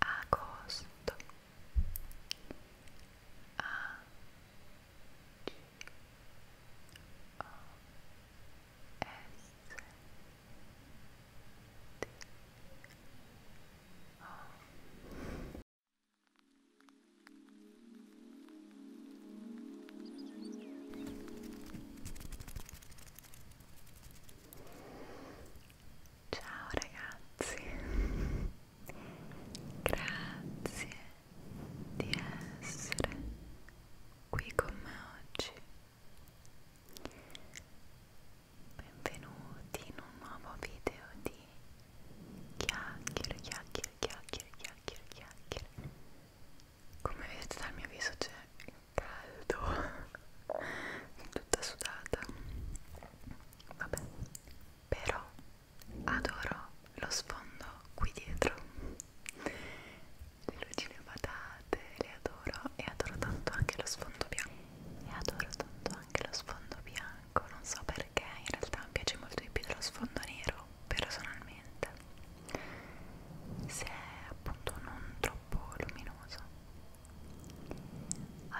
agosto a o s t o Ciao ragazzi, grazie di essere qui con me oggi. Benvenuti in un nuovo video di chiacchiere, chiacchiere, chiacchiere, chiacchiere, chiacchiere. Come vedete dal mio viso c'è caldo tutta sudata vabbè però adoro lo sfondo qui dietro le lucine patate le adoro e adoro tanto anche lo sfondo bianco e adoro tanto anche lo sfondo bianco non so perché in realtà mi piace molto di più dello sfondo nero personalmente se è appunto non troppo luminoso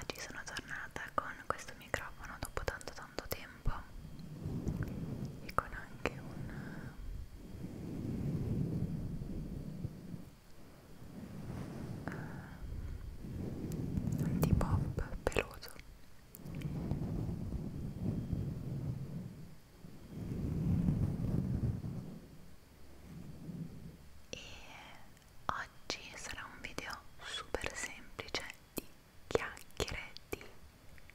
Oggi sono tornata con questo microfono dopo tanto tanto tempo e con anche un uh, eh, antipop peloso e oggi sarà un video super semplice di chiacchiere, di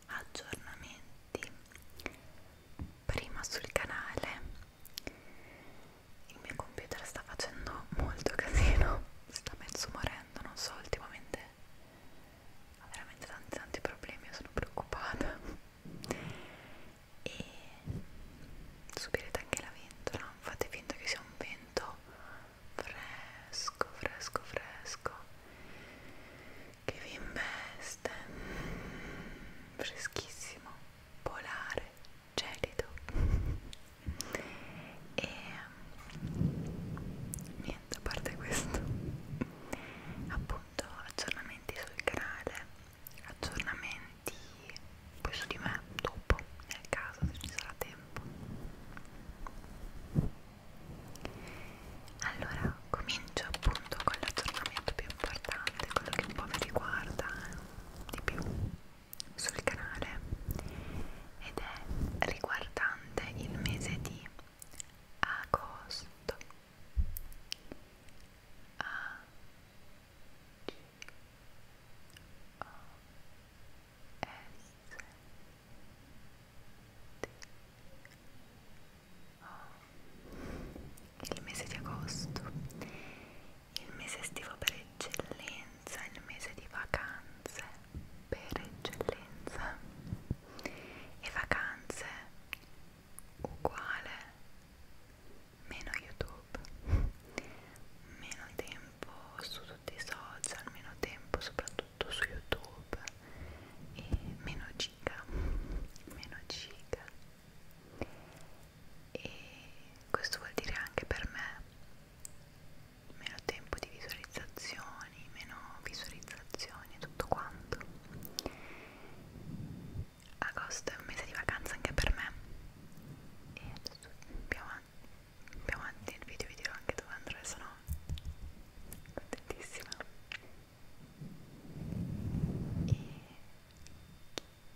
aggiornamenti prima sul canale il mio computer sta facendo molto casino sta mezzo morendo, non so ultimamente ha veramente tanti tanti problemi, io sono preoccupata e subirete anche la ventola fate finta che sia un vento fresco fresco fresco che vi investe freschissimo polare gelido e niente a parte questo appunto aggiornamenti sul canale aggiornamenti di poi su di me dopo nel caso se ci sarà tempo allora comincio appunto con l'aggiornamento più importante quello che un po' mi riguarda eh, di più sul canale ed è riguardante il mese di agosto a G O S T O il mese di agosto il mese estivo per eccellenza il mese di vacanze per eccellenza e vacanze uguale meno youtube meno tempo su tutti i social meno tempo soprattutto su youtube e meno giga meno giga e questo vuol dire anche per me meno tempo di visualizzazioni meno visualizzazioni tutto quanto agosto è un mese di vacanza anche per me e adesso più avanti, più avanti nel video vi dirò anche dove andrò e sono contentissima e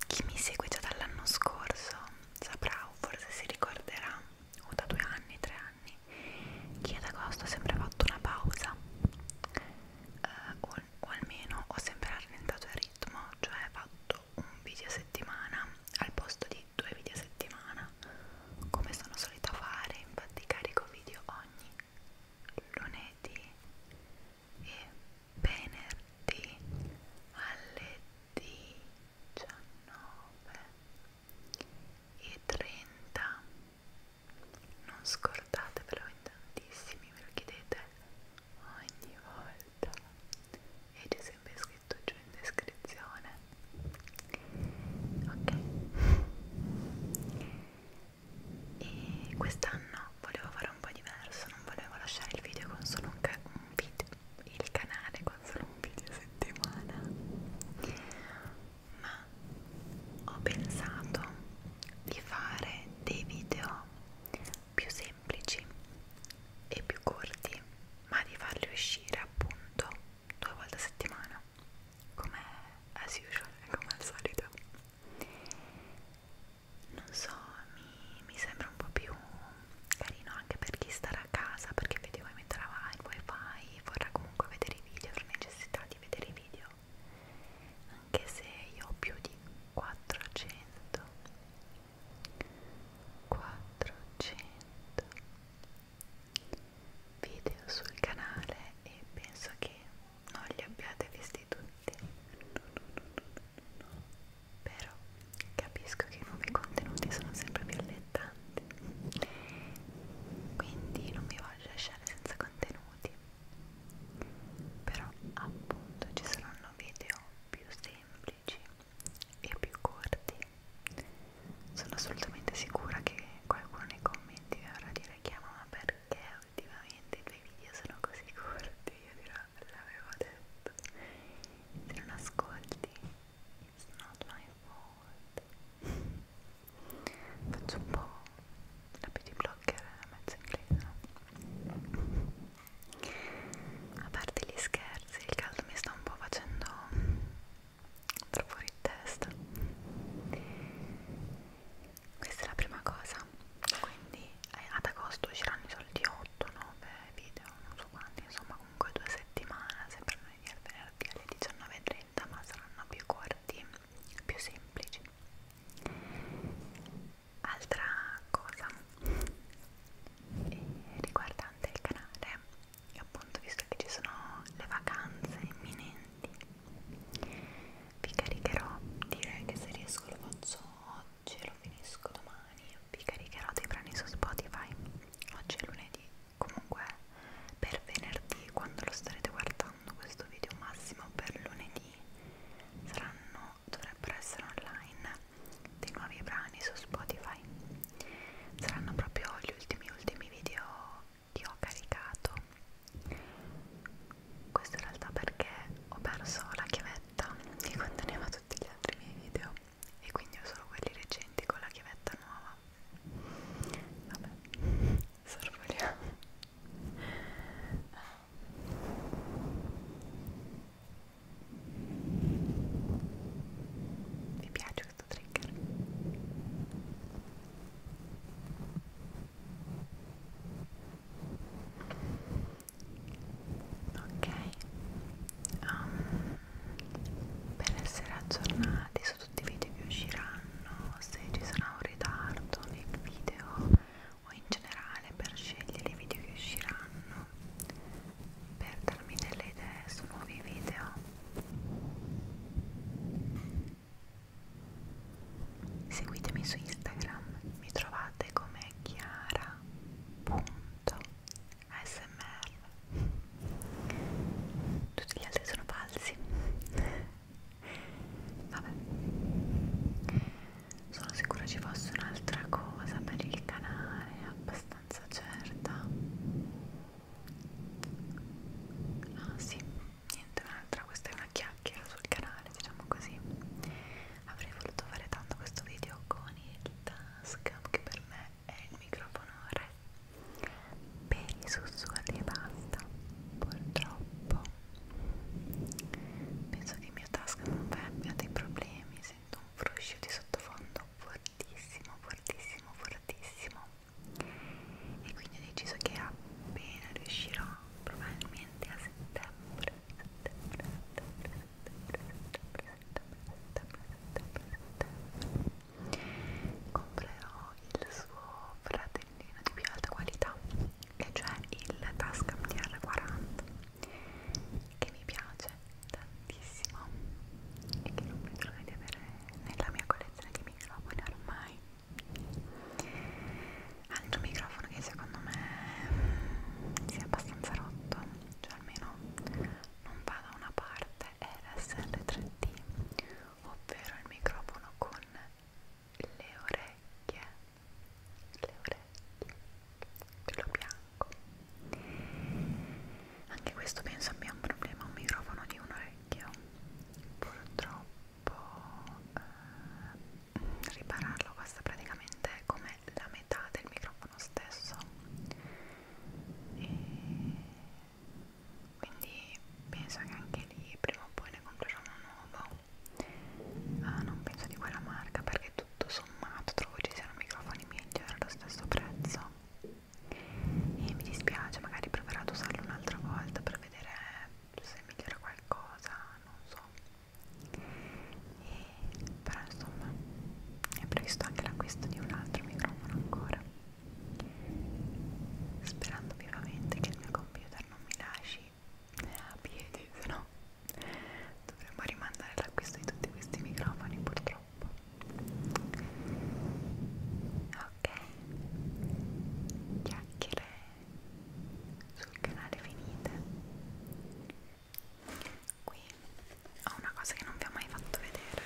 chi mi segue già dall'anno scorso saprà o forse si ricorderà o da due anni, tre anni che ad agosto ho sempre fatto una pausa eh, o o almeno ho sempre rallentato il ritmo, cioè fatto un video a settimana al posto di due video a settimana, come sono solita fare, infatti carico video ogni lunedì e venerdì alle 19 e 30 non scordatevelo in tantissimi, me lo chiedete ogni volta e c'è sempre scritto giù in descrizione ok e quest'anno volevo fare un po' diverso non volevo lasciare il video con solo un, ca un video il canale con solo un video a settimana ma ho pensato di fare dei video più semplici e più corti ma di farli uscire appunto due volte a settimana come as usual, come al solito non so, mi, mi sembra un po' più carino anche per chi starà a casa perché effettivamente metterà il wifi vorrà comunque vedere i video, avrà necessità di vedere i video anche se io ho più di 400 400 video sul canale e penso che non li abbiate visti tutti no, no, no, no. però capisco che i nuovi contenuti sono sempre più allettanti quindi non mi voglio lasciare senza contenuti però appunto ci saranno video più semplici e più corti sono assolutamente sicura che qualcuno nei commenti vi vorrà dire chiama ma perché ultimamente i tuoi video sono così corti io dirò l'avevo detto se non ascolti it's not my fault faccio un po' la beauty blogger mezzo inglese a parte gli scherzi il caldo mi sta un po' facendo troppo fuori testa questa è la prima cosa quindi eh, ad agosto usciranno i soliti 8-9 video non so quanti insomma comunque due settimane sempre lunedì al venerdì alle 19.30 ma saranno più corti più semplici altra cosa eh, riguardante il canale appunto visto che ci sono le vacanze imminenti vi caricherò direi che se riesco lo faccio oggi lo finisco domani vi caricherò dei brani su Spotify oggi è lunedì comunque per venerdì quando lo starete guardando questo video massimo per lunedì saranno dovrebbero essere online dei nuovi brani su Spotify saranno proprio gli ultimi ultimi video che ho caricato questo in realtà perché ho perso la chiavetta che conteneva tutti gli altri miei video e quindi ho solo quelli recenti con la chiavetta nuova vabbè sorvoliamo vi piace questo trigger? ok um, per essere aggiornati sul tutti i video che usciranno, se ci sarà un ritardo nel video o in generale per scegliere i video che usciranno, per darmi delle idee su nuovi video. Seguitemi su Instagram, mi trovate come chiara.smr tutti gli altri sono falsi vabbè sono sicura ci fosse un'altra cosa per il canale abbastanza certa ah sì niente un'altra questa è una chiacchiera sul canale diciamo così avrei voluto fare tanto questo video con il tascam che per me è il microfono re per i sussurri e basta purtroppo penso che mia tasca non abbia dei problemi sento un fruscio di sottofondo fortissimo fortissimo fortissimo e quindi ho deciso che appena riuscirò probabilmente a settembre settembre settembre settembre settembre settembre settembre settembre comprerò il suo fratellino di più alta qualità e cioè il Tascam DR40 che mi piace tantissimo e che non vedo l'ora di avere nella mia collezione di microfoni ormai hanno un microfono che secondo me si è abbastanza rotto cioè almeno non va da una parte è l'SL3D ovvero il microfono con le orecchie le orecchie quello bianco anche questo penso abbia un problema un microfono di un orecchio purtroppo eh, ripararlo costa praticamente come la metà del microfono stesso e quindi penso che anche lì prima o poi ne comprerò uno nuovo ah, non penso di quella marca perché tutto sommato trovo ci siano microfoni migliori allo stesso prezzo e mi dispiace magari proverò ad usarlo un'altra volta per vedere se migliora qualcosa non so e, però insomma è previsto anche l'acquisto di un altro microfono ancora sperando vivamente che il mio computer non mi lasci a piedi, se no dovremmo rimandare l'acquisto di tutti questi microfoni purtroppo. Ok, chiacchiere sul canale finite qui ho una cosa che non vi ho mai fatto vedere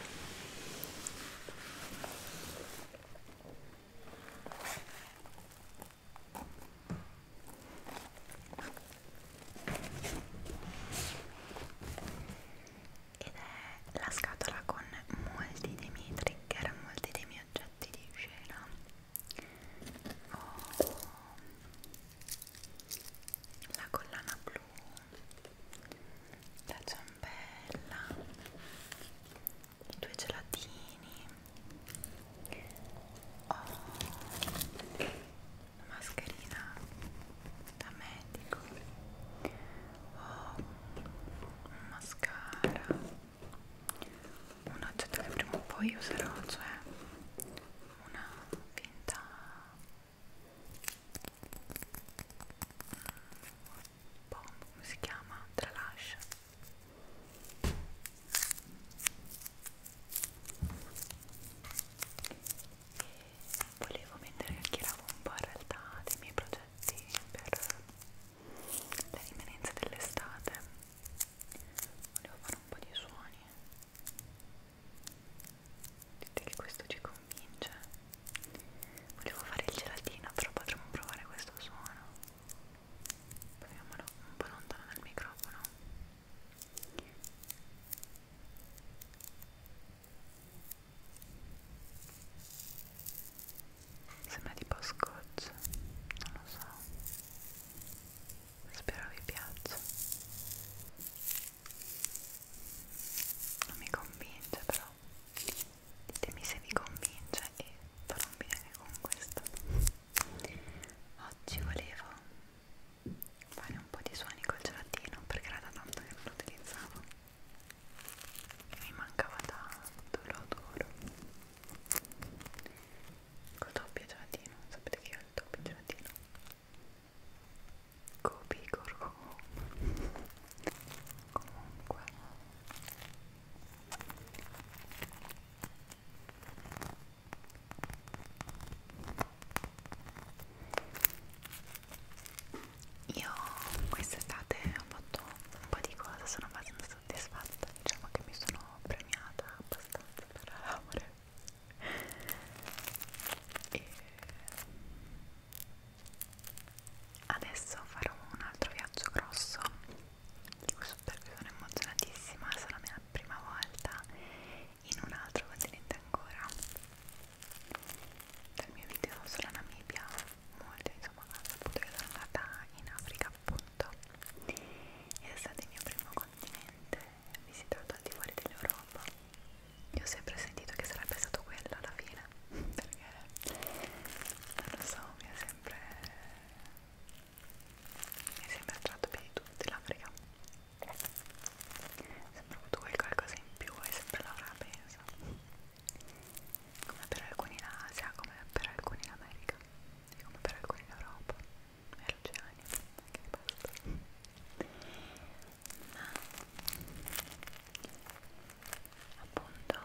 ed è la scatola con molti dei miei trigger, molti dei miei oggetti di scena ho oh. la collana blu la ciambella i due gelatini ho oh, una mascherina da medico ho oh, un mascara un oggetto che prima o poi userò cioè una finta Bomb, come si chiama? Tralascia e volevo mettere anche la un po' in realtà dei miei progetti per le rimanenze dell'estate volevo fare un po' di suoni Vedete che questo ci convince. Volevo fare il gelatino, però potremmo provare questo suono. Proviamolo un po' lontano dal microfono. Sembra tipo scotch, non lo so. Spero vi piaccia non mi convince però ditemi se vi convince e farò un video anche con questo oggi volevo fare un po' di suoni col gelatino perché era da tanto che non lo utilizzavo e mi mancava tanto, lo adoro col doppio gelatino, sapete che io ho il doppio gelatino Gobi Gorgo comunque io quest'estate ho fatto un po' di cose, sono abbastanza soddisfatta, diciamo che mi sono premiata abbastanza per l'amore e adesso farò un altro viaggio grosso di cui sono emozionatissima sarà la mia prima volta in un altro continente ancora dal mio video sulla Namibia molto insomma ho saputo che sono andata in Africa appunto ed è stato il mio primo continente visitato al di fuori dell'Europa io ho sempre sentito che sarebbe stato quello alla fine perché non lo so mi è sempre mi è sempre attratto più di tutti l'Africa sembra avuto quel qualcosa in più e sempre l'avrà penso come per alcuni in Asia come per alcuni in America e come per alcuni in Europa hai ragione, anche basta ma appunto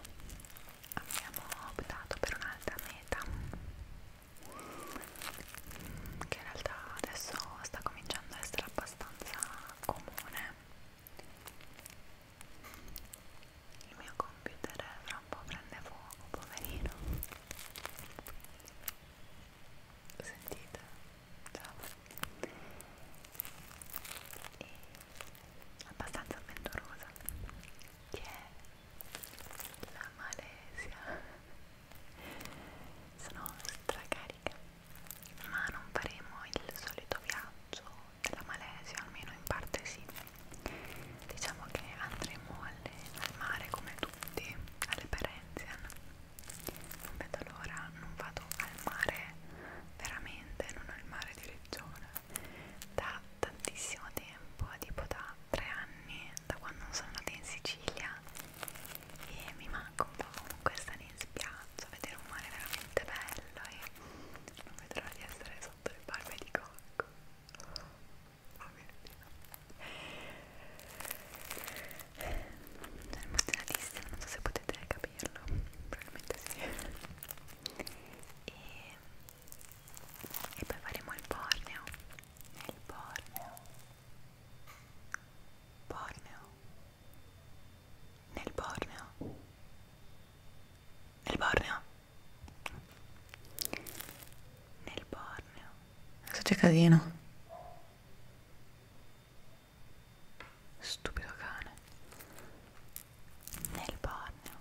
abbiamo optato per un'altra meta che in realtà adesso sta cominciando a essere abbastanza comune il mio computer fra un po' prende fuoco, poverino sentite ciao e abbastanza avventurosa che è la Malesia sono stracarica ma non faremo il solito viaggio della Malesia almeno in parte sì diciamo che andremo alle, al mare come tu tutti alle Perenzian non vedo l'ora, non vado al mare veramente, non al mare di Regione da tantissimo tempo, tipo da tre anni da quando sono andata in Sicilia e mi manca un po' comunque stare in spiaggia, vedere un mare veramente bello e non vedo l'ora di essere sotto le barbe di cocco sono emozionatissima, non so se potete capirlo, probabilmente sì. E, e poi faremo il Borneo. Il Borneo. Borneo. Nel Borneo. Nel Borneo. Nel Borneo. Adesso c'è casino. Stupido cane. Nel bagno,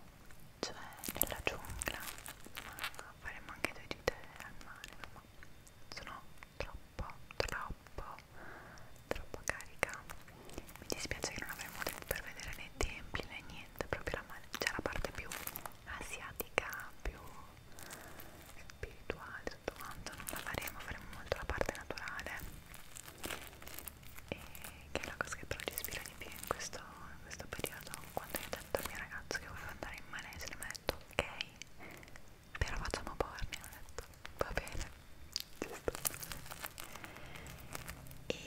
cioè nella giungla. Ma faremo anche due gite al mare, ma sono troppo, troppo, troppo carica. Mi dispiace che non avremo tempo per vedere né templi né niente, proprio la, cioè la parte più asiatica, più spirituale tutto quanto non la faremo faremo molto la parte naturale e che è la cosa che però ci ispira di più in questo, in questo periodo quando io ho detto al mio ragazzo che volevo andare in Malesia mi ha detto ok però facciamo porni ho detto va bene giusto e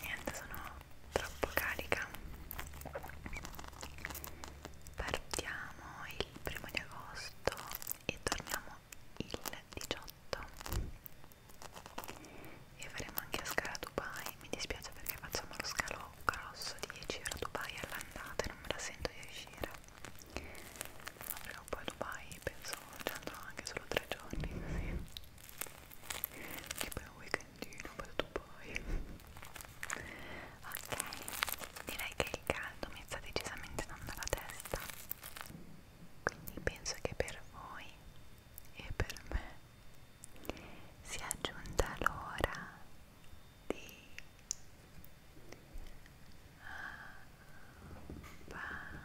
niente sono troppo carica partiamo il primo di agosto e torniamo il 18 e faremo anche la scala a Dubai mi dispiace perché facciamo lo scalo grosso di 10 euro a Dubai all'andata e non me la sento di riuscire ma prima o poi a Dubai penso ci andrò anche solo 3 giorni così e poi un weekend quindi l'ho battuto poi ok direi che il caldo mi sta decisamente dando la testa quindi penso che per voi e per me sia giunta l'ora di ah, passare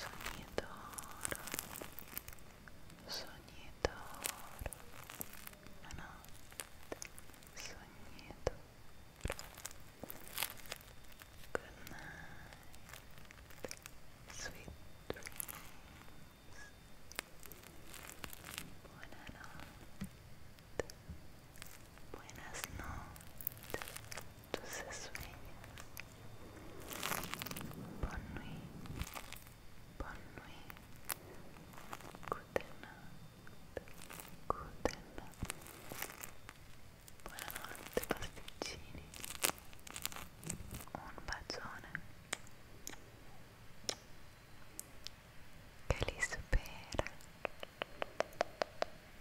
Soñador, soñador, ano, soñador. Good night, sweet dreams. Buena noche, buenas noches tus sueños. Bonne nuit, bonne nuit. Good Buonanotte pasticcini. Un bacione. Che